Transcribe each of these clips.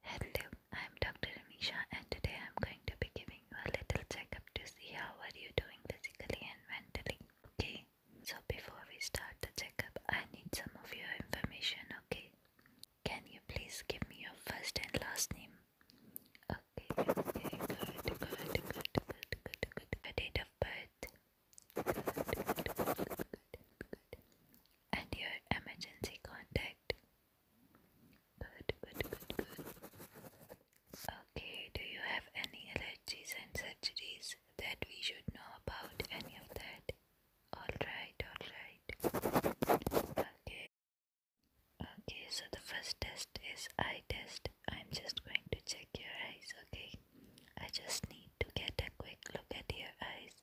Hello, I'm Dr. Amisha, and today I'm going to be giving you a little checkup to see how are you doing physically and mentally. Okay, so before we start the checkup, I need some of your information. Okay, can you please give me your first and last name? Okay, okay, good, good, good, good, good, good. Your date of birth. Good, good, good, good, good, good and your emergency contact. Good, good, good, good. Okay, do you have any allergies and surgeries that we should know about? Any of that? Alright, alright. Okay. Okay, so the first test is eye test. I'm just going to check your eyes, okay? I just need to get a quick look at your eyes.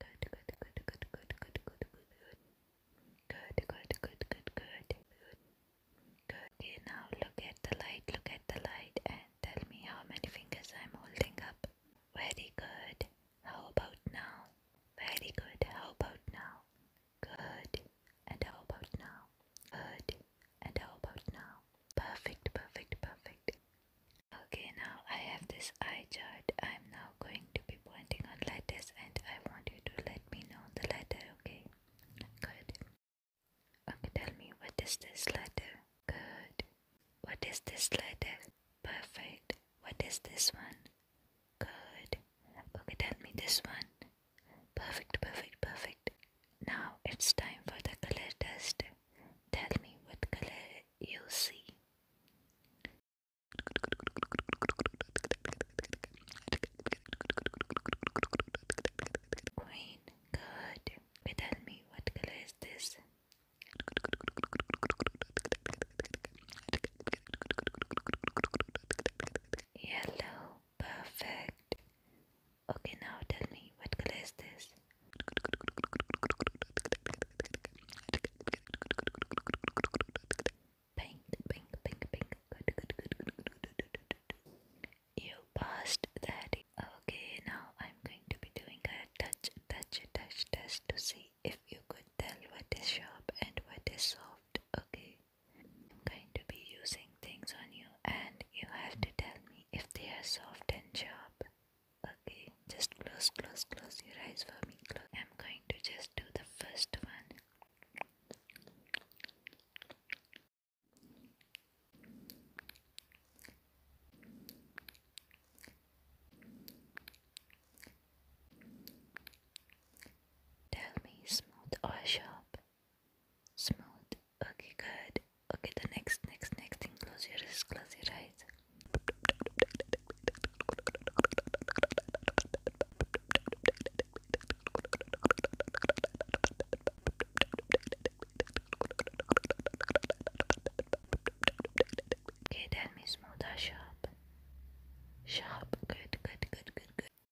Good, good, good, good, good, good, good, good, good. Good, good, good, good, good, good. now look at the light, look at the light, and tell me how many fingers I'm holding up. Very good. How about now? Very good. How about now? Good. And how about now? Good. And how about now? Perfect, perfect, perfect. Okay, now I have this eye chart. I'm now going to be pointing on letters and I want you to let me know the letter, okay? Good. Okay, tell me what is this letter? Good. What is this letter? Perfect. What is this one? Good. Okay, tell me this one. Perfect, perfect, perfect. Now it's time for the color test. Tell me what color you see. Green, good. But tell me what color is this? Yellow, perfect. Okay, now tell me, what color is this? Pink, pink, pink, pink. You passed that. Okay, now I'm going to be doing a touch, touch, touch test to see if you could tell what is sharp and what is soft. Okay, I'm going to be using things on you and you have to tell me if they are soft and sharp. Okay, just close, close, close your eyes for me. Close. I'm going to just do the first one. Tell me smooth or sharp. Smooth. Okay, good. Okay, the next, next, next thing. Close your eyes. Close your eyes. Okay, tell me smooth or sharp. Sharp. Good, good, good, good, good.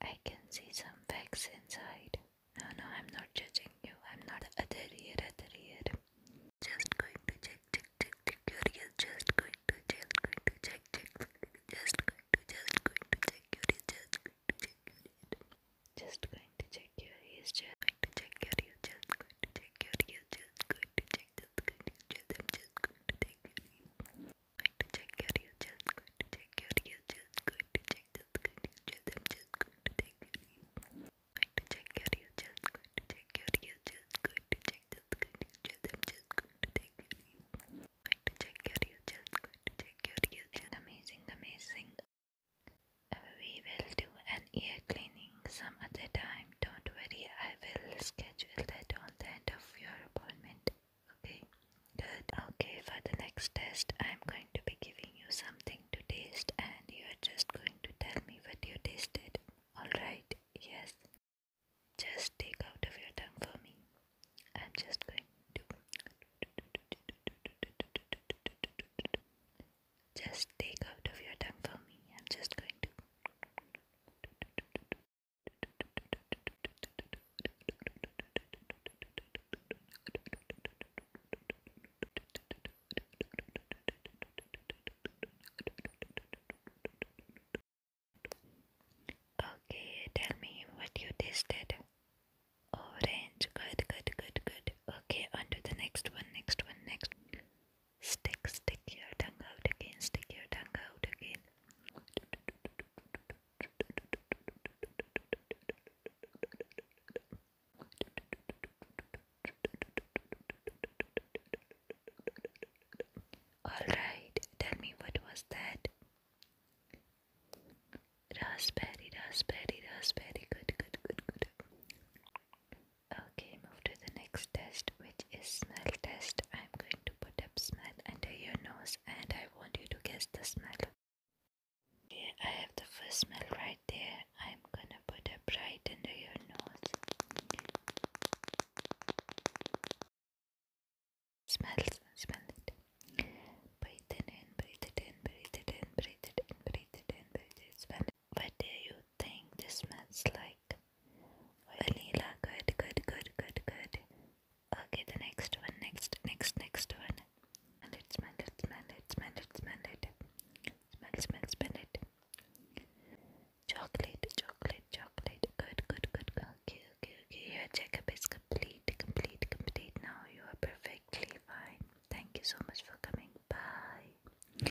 I can see some facts inside. No, no, I'm not judging you. I'm not a here, other here. Just going to check, check, check, check your ears. Just going to check, going to check, check, just going to, just going to check your ears. Just going to check your ears. Just going to check your ears. Just going to check your ears. Just going to check your ears. Just going to check, just going to check. I'm just going to check your ears going to check your just going to check your just going to check just going to check I'm check your just going to check your just going to check just going to check I'm check your just going to check your just amazing amazing we will do an ear cleaning some other time don't worry I will schedule that on the end of your appointment Okay, good. Okay, for the next test, I'm going to be giving you something to taste, and you're just going to tell me what you tasted. Alright, yes. Just take out of your tongue for me. I'm just going to. Just take out of your tongue for me. I'm just going to. Okay, tell me what you tasted. Orange, good, good, good, good. Okay, on the next one, next one, next. Stick, stick your tongue out again, stick your tongue out again. Alright, tell me what was that? Raspberry, raspberry, raspberry. Good, good, good, good. Okay, move to the next test, which is smell test. I'm going to put up smell under your nose and I want you to guess the smell. Okay, I have the first smell right there. I'm gonna put up right under your nose. Smells, smell it. Breathe it in, breathe in, breathe in, breathe in, breathe in, breathe it Smell what do you think this smells like? Vanilla. Good, good, good, good, good. Okay, the next one, next, next, next one. And it smell it, smell it, smell smell Smell, smell, smell Chocolate, chocolate, chocolate. Good, good, good. Okay, okay, okay. Your checkup is complete, complete, complete. Now you are perfectly fine. Thank you so much for coming. Bye.